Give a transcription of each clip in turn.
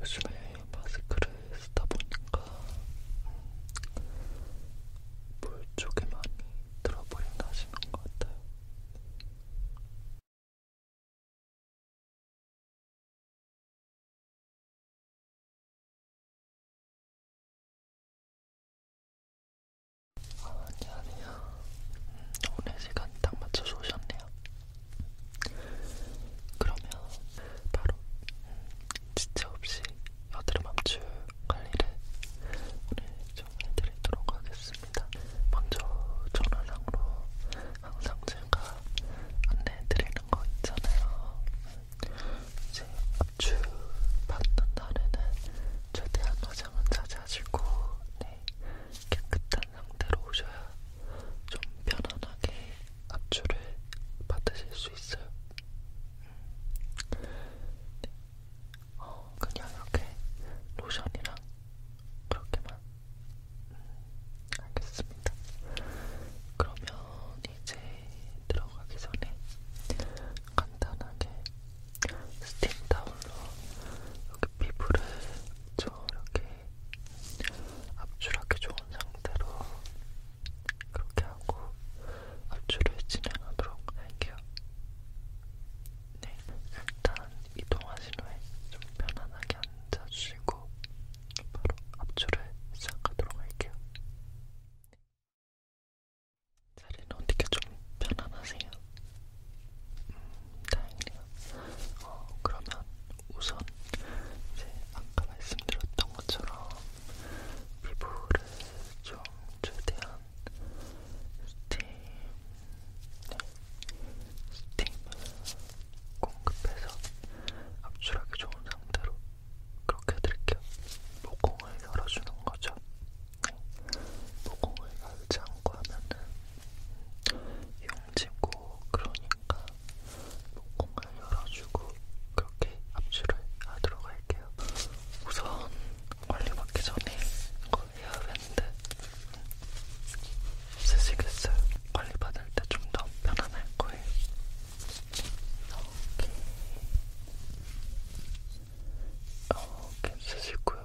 요즘에 마스크를 쓰다 보니까 물 쪽에 많이 들어버린다 하시는 것 같아요. 아, 아니 아니야. 음, 오늘 시간 딱 맞춰서 오셨네요. 그러면 바로 음, 지체 없이 여드름 압출 관리를 오늘 좀 해드리도록 하겠습니다. 먼저 전화상으로 항상 제가 안내해드리는 거 있잖아요. 이제 압출 받는 날에는 최대한 화장은 자제하시고 네, 깨끗한 상태로 오셔야 좀 편안하게 압출을 받으실 수 있어요. 네. 어, 그냥 이렇게 로션이랑 그렇게만 음, 알겠습니다. 그러면 이제 들어가기 전에 간단하게 스팀 타올로 이렇게 피부를 저렇게 압출하기 좋은 상태로 그렇게 하고 압출을 진행하도록 할게요. 네, 일단 이동하신 후에 좀 편안하게 앉아주시고 바로 압출을 시작하도록 할게요. 네. 자리는 어떻게 좀 편안하세요? 다행이네요. 어, 그러면 우선 이제 아까 말씀드렸던 것처럼 피부를 좀 최대한 스팀, 네, 스팀을 공급해서 압출하기 좋은 상태로 그렇게 해드릴게요. 모공을 열어주는 거죠. 네. 모공을 열지 않고 하면은 음, 이용 만지고 그러니까 목공을 열어주고 그렇게 압출을 하도록 할게요. 우선 관리받기 전에 이거 헤어밴드 쓰시겠어요? 관리받을 때 좀 더 편안할 거예요. 이렇게 이렇게 쓰시고요.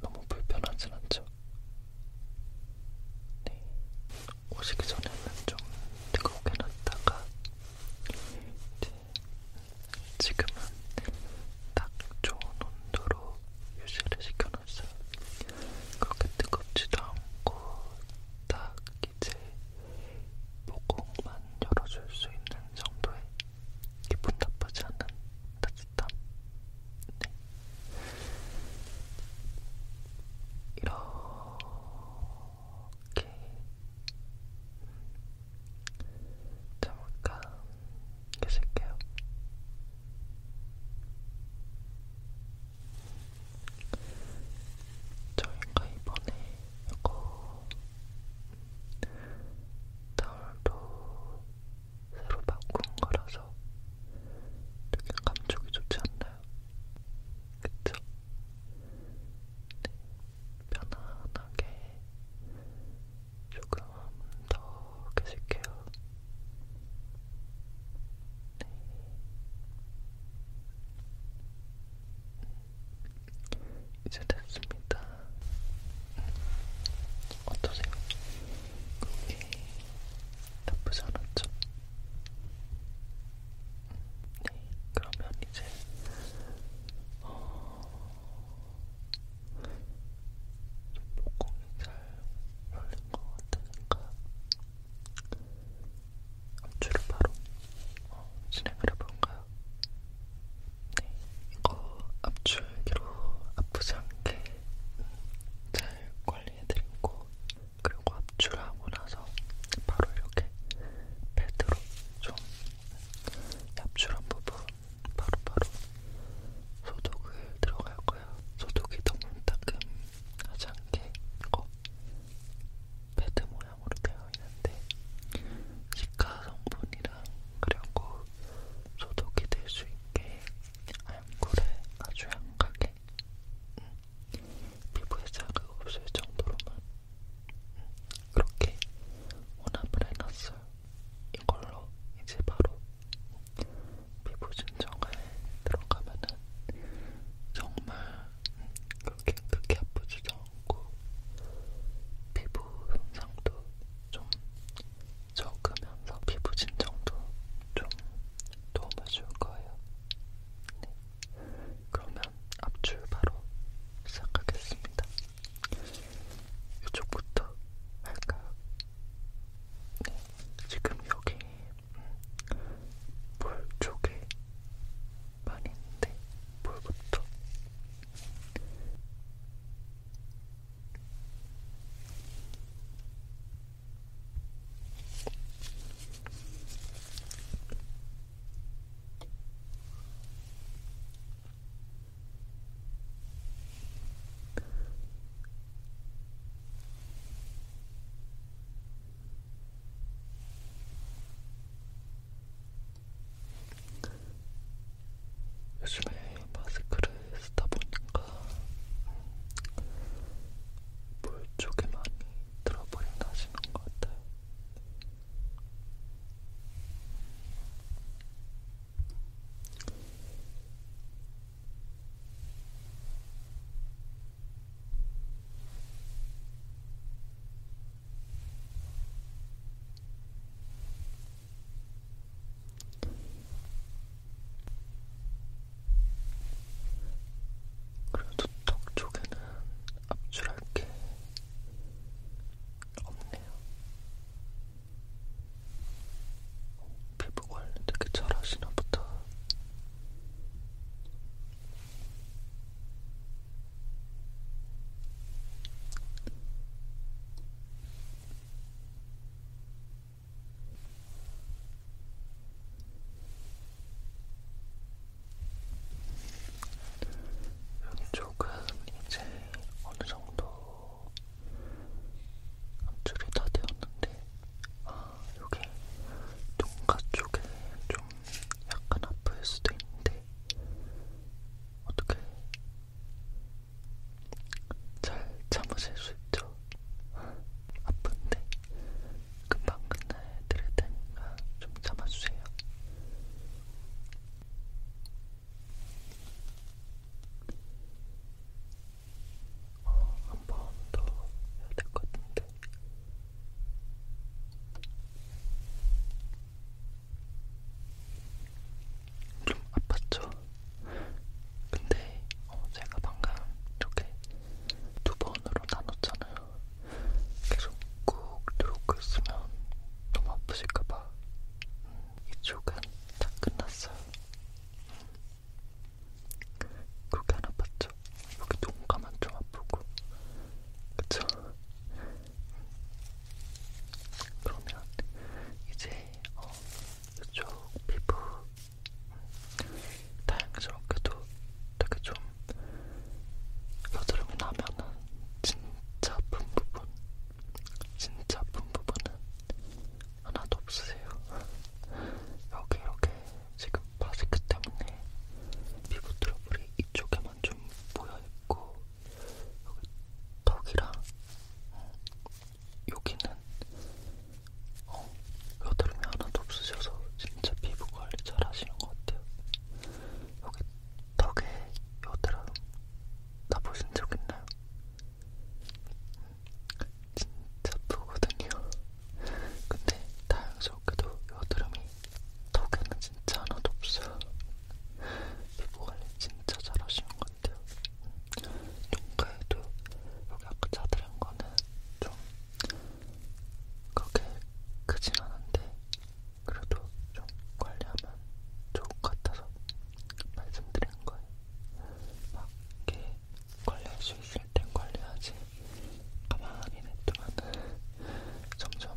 너무 불편하진 않죠? 네. 오시기 전에는 좀 뜨겁게 놨다가 이제 지금은 딱 좋은 온도로 유지를 시켜놨어요. 그렇게 뜨겁지도 않고 딱 이제 모공만 열어줄 수 있는 정도의 기분 나쁘지 않은 따뜻함 네. 이렇게 잠깐 계실게요. 저희가 이번에 이거 타월도 새로 바꾼 거라서 되게 감촉이 좋지 않나요? 그쵸? 네, 편안하게 조금 더 계실게요. 네. 이제 됐습니다. 어떠세요? 그게 나쁘지 않았죠? 네, 그러면 이제 어... 목공이 잘 열린 것 같으니까 압출을 바로 어, 진행을 해볼까요? 네, 이거 압출기로 아프지 않게 잘 관리해드리고 그리고 압출하고 나서 바로 이렇게 패드로 좀 압출한 부분 바로바로 바로 소독을 들어갈 거예요. 소독이 너무 따끔하지 않게 이거 패드 모양 사탕으로 되어 있는데 시카 성분이랑 그리고 소독이 될 수 있게 알코올에 아주 약하게 응. 음, 피부에 자극 없을 정도로만 응. 음, 그렇게 혼합을 해놨어요. 이걸로 이제 바로 피부 진정에 들어가면은 정말 음, 그렇게 크게 아프지도 없고 피부 손상도 좀 적으면서 피부 진정도 좀 도움을 줄 거예요. 네. 그러면 압출 바로 시작하겠습니다. 이쪽부터 할까요? 네. 지금 여기 볼 음, 쪽에 말인데 뭘부터? 요즘에 마스크를 쓰다 보니까 물 쪽에 많이 들어버린다 하시는 것 같아요. 그래도 턱 쪽에는 압출할 게 없네요. 피부 관리 되게 잘하시나 보다. 이쪽은 이제 어느 정도 압출이 다 되었는데, 아, 여기 눈가 쪽에 좀 약간 아플 수도 있는데, 어떻게 잘 참으실 수 있죠? 아픈데 금방 끝내드릴 테니까 좀 참아주세요. 어, 한번 더 해야 될 것 같은데 좀 아팠죠? 근데 어, 제가 방금 이렇게 두 번으로 나눴잖아요. 계속 꾹 누르고 있으면 너무 아프실까봐 음, 이쪽은 다 끝났어요. 음, 그렇게 안 아팠죠? 아프죠? 여기 눈 감은 좀 아프고 그쵸? 그러면 이제 어, 이쪽 피부 다행스럽게도 되게 좀 여드름이 나면은 진짜 아픈 부분 진짜 아픈 부분은 하나도 없으세요 여기 이렇게 지금 마스크 때문에 피부 트러블이 이쪽에만 좀 모여있고 여기 턱이랑 어, 여기는 어, 여드름이 하나도 없으셔서 진짜 피부 관리 잘 하시는 것 같아요. 여기 턱에 여드름 나 보신 적 있나요? 진짜 부거든요. 근데 다행스럽게도 여드름이 턱에는 진짜 하나도 없어요. 피부관리 진짜 잘하시는 것 같아요. 눈가에도 여기 아까 자드린 거는 좀 그렇게 크진 않은데 그래도 좀 관리하면 좋을 것 같아서 말씀드린 거예요. 막 이렇게 관리할 수 있을 땐 관리하지 가만히 냅두면은 점점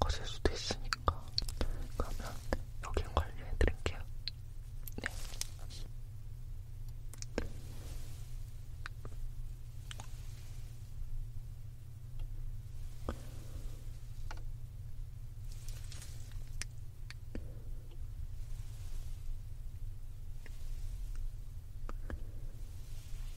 커질 수도 있으니까 그러면 여기는 관리해드릴게요. 네.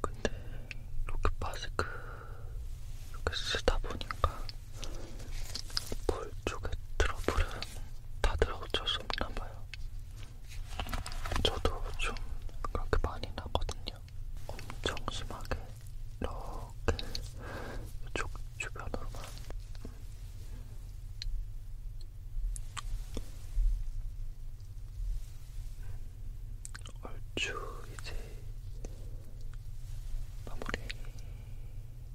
근데 이렇게 마스크 이렇게 쓰다 보니까 볼 쪽에 트러블은 다들 어쩔 수 없나 봐요. 저도 좀 그렇게 많이 나거든요. 엄청 심하게 이렇게 이쪽 주변으로만 얼추 이제 마무리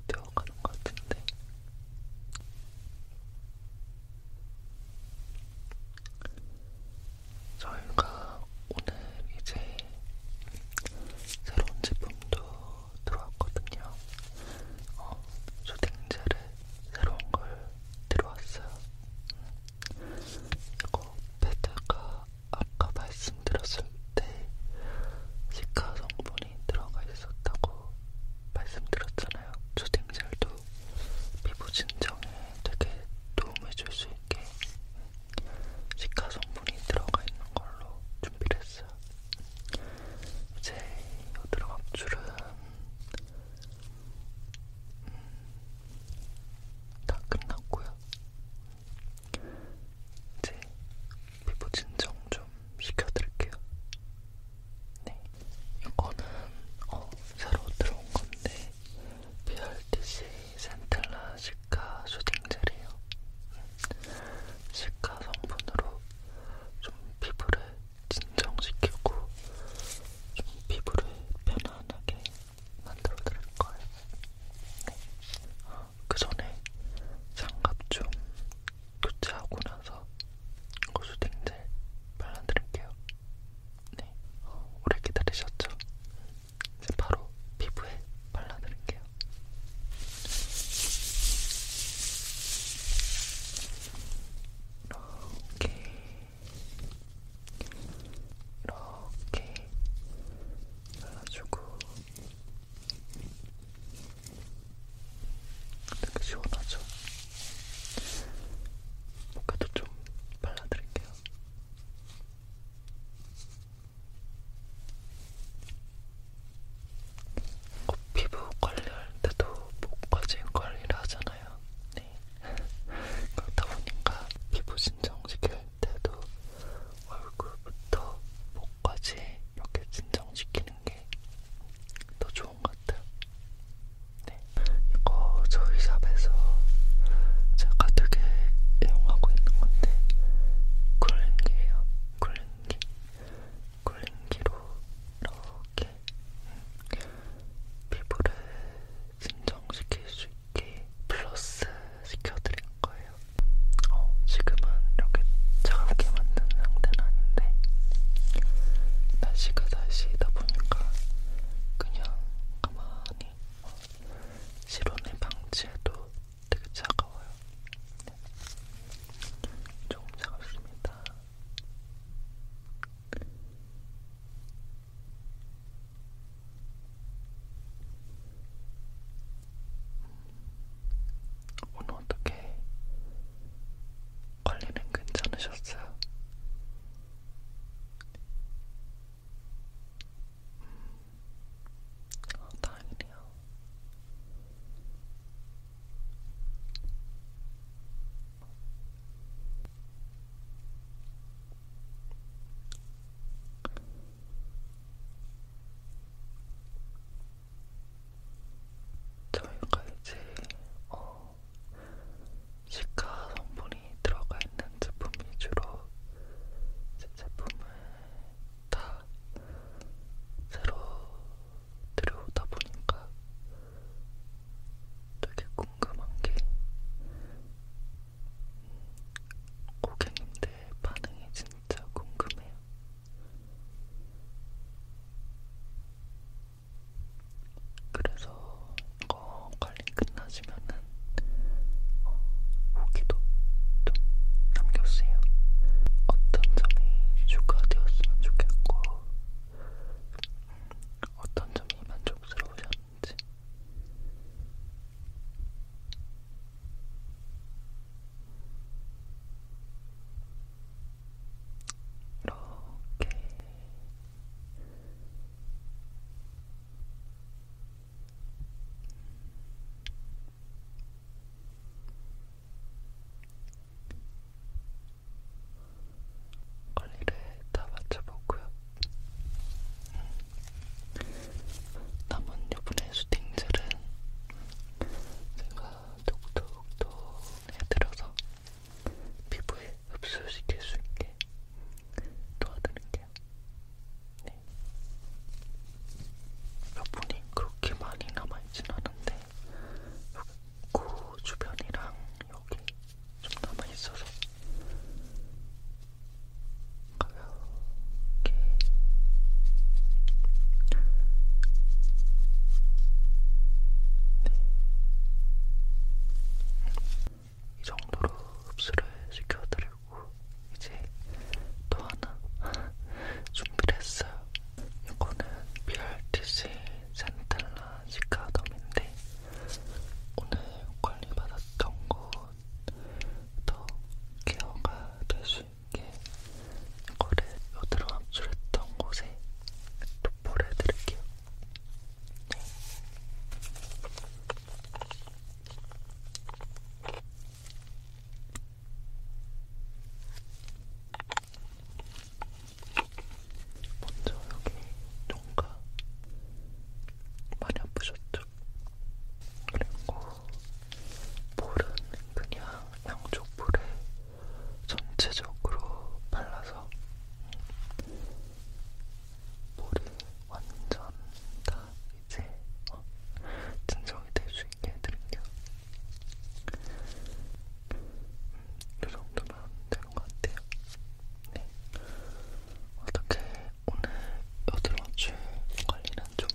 되어가는 것 같은데 저희가 오늘 이제 새로운 제품도 들어왔거든요. 어, 조딩젤에 새로운 걸 들어왔어요. 이거 패드가 아까 말씀드렸을 때 시카 성분이 들어가 있었다고 말씀드렸잖아요. 조딩젤도 피부 진정에 되게 도움을 줄수 있게 시카 성분이 들어가 있는 걸로 준비를 했어요. 이제 여드름 압출은 음, 다 끝났고요. 이제 피부 진정 좀 시켜드릴게요. 네, 이거는 어, 새로 들어온 건데 BRTC 센텔라 시카 수딩 젤이에요. 시카 성분으로 좀 피부를 진정시키고 좀 피부를 편안하게 만들어 드릴 거예요. 네. 어, 그 전에 장갑 좀 교체하고 나서 고수딩젤 발라드릴게요. 네, 오래 기다리셨죠? 이제 바로 피부에 발라드릴게요. 이렇게 이렇게 발라주고 되게 시원하죠? 목에도 좀 발라드릴게요. 어, 피부 관리할 때도 목까지 관리를 하잖아요. 네. 그렇다 보니까 피부 진정시킬 때도 얼굴부터 목까지 이렇게 진정시키는 게 더 좋은 것 같아요. 네. 이거 저희 샵에서 제가 되게 애용하고 있는 건데 쿨링기예요. 쿨링기. 쿨링기로 이렇게 음, 피부를 진정시킬 수 있게 플러스 시켜드릴 거예요. 어, 지금은 이렇게 차갑게 만든 상태는 아닌데, 날 날씨가 날씨이다 보니까 그냥 가만히 어, 실온에 방치해도 되게 차가워요. 네. 조금 차갑습니다. 음, 오늘 어떻게 관리는 괜찮으셨어요? 음, 아, 다행이네요. 저희가 이제 어, 시카 성분이 들어가 있는 제품 위주로 제 제품을 다 새로 들여오다 보니까 되게 궁금한 게 음, 고객님들 반응이 진짜 궁금해요. 그래서 이거 관리 끝나시면은 어, 후기도 좀 남겨주세요. 어떤 점이 추가되었으면 좋겠고 음, 어떤 점이 만족스러우셨는지 이렇게 관리를 다 맞춰보고요. 남은 여분의 수딩젤은 제가 톡톡톡 해드려서 피부에 흡수시킬 수 있게 도와드릴게요. 네. 여분이 그렇게 많이 남아있진 않은데 코 그 주변이랑 여기 좀 남아있어서 가볍게 이 정도로 흡수를 시켜드리고 이제 또 하나 준비를 했어요. 이거는 BRTC 센텔라 시카덤인데 오늘 관리받았던 곳더 케어가 될수 쉽게 이거를 여드름 압출했던 곳에 도포를 해드릴게요. 네. 먼저 여기 뭔가 많이 아프셨죠? 그리고 볼은 그냥 양쪽 볼에 전체적으로 발라서 볼이 완전 다 이제 어, 진정이 될 수 있게 해드릴게요. 음, 이 정도면 되는 것 같아요. 네. 어떻게 오늘 여드러줄 관리는 좀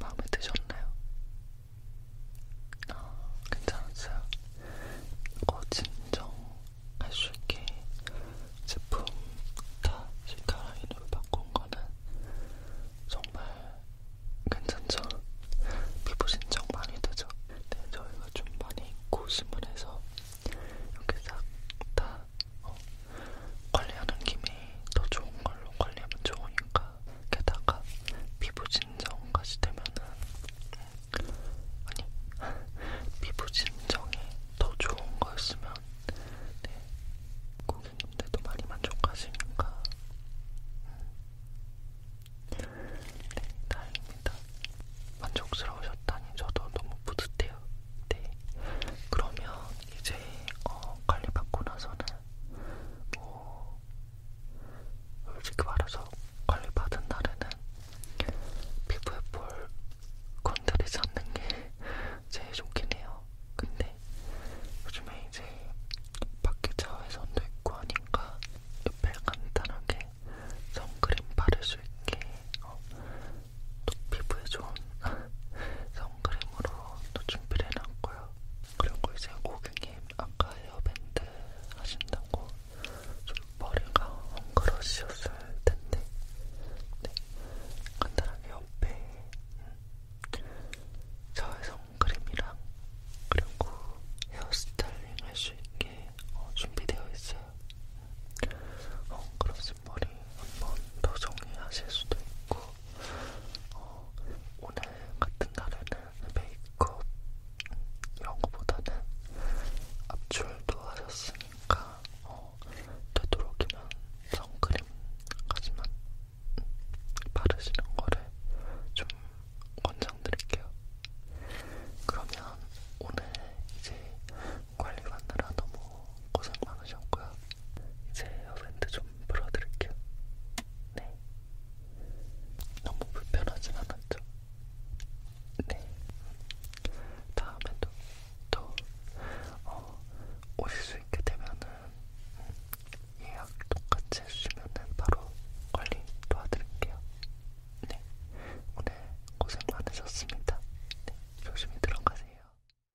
마음에 드셨나요? 아, 괜찮았어요. 이거 진정할 수 있게 제품 다 실카라인으로 바꾼 거는 정말 괜찮죠? 피부 진정 많이 되죠? 네, 저희가 좀 많이 고심을 해서 이렇게 싹다 어, 관리하는 김에 더 좋은 걸로 관리하면 좋으니까 게다가 피부 진정까지 되면은 아니 피부 진정이 더 좋은 거였으면 네, 고객님들도 많이 만족하시니까 네, 다행입니다. 만족스러우셨다니 저도 너무 뿌듯해요. 네, 그러면 이제 어, 관리 받고 나서는 뭐 솔직히 말해서 관리 받은 날에는 피부에 볼 건드리지 않는 게 제일 좋긴 해요. 근데 요즘에 이제 밖에 자외선도 있고 하니까 옆에 간단하게 선크림 바를 수 있게 어, 또 피부에 좋은 선크림으로 또 준비를 해놨고요. 그리고 이제 고객님 아까 헤어밴드 하신다고 좀 머리가 헝클어지셨을 텐데 네. 간단하게 옆에 음, 저의 선크림이랑 그리고 헤어스타일링 할 수 있게 어, 준비되어 있어요. 음, 헝클어진 머리 한번더 정리하실 수도 있고 어, 오늘 같은 날에는 메이크업 이런 거보다는 압출도 하셨으니까 어, 되도록이면 선크림 하지만 음, 바르시는 거를 좀 권장드릴게요. 그러면 오늘 이제 관리 받느라 너무 고생 많으셨고요. 이제 에어밴드 좀 풀어드릴게요. 네. 너무 불편하진 않았죠? 네. 다음에도 또 어, 오실 수 있게 되면은 음, 예약 똑같이 해주시면은 바로 관리 도와드릴게요. 네. 오늘 고생 많으셨습니다. 네. 조심히 들어가세요.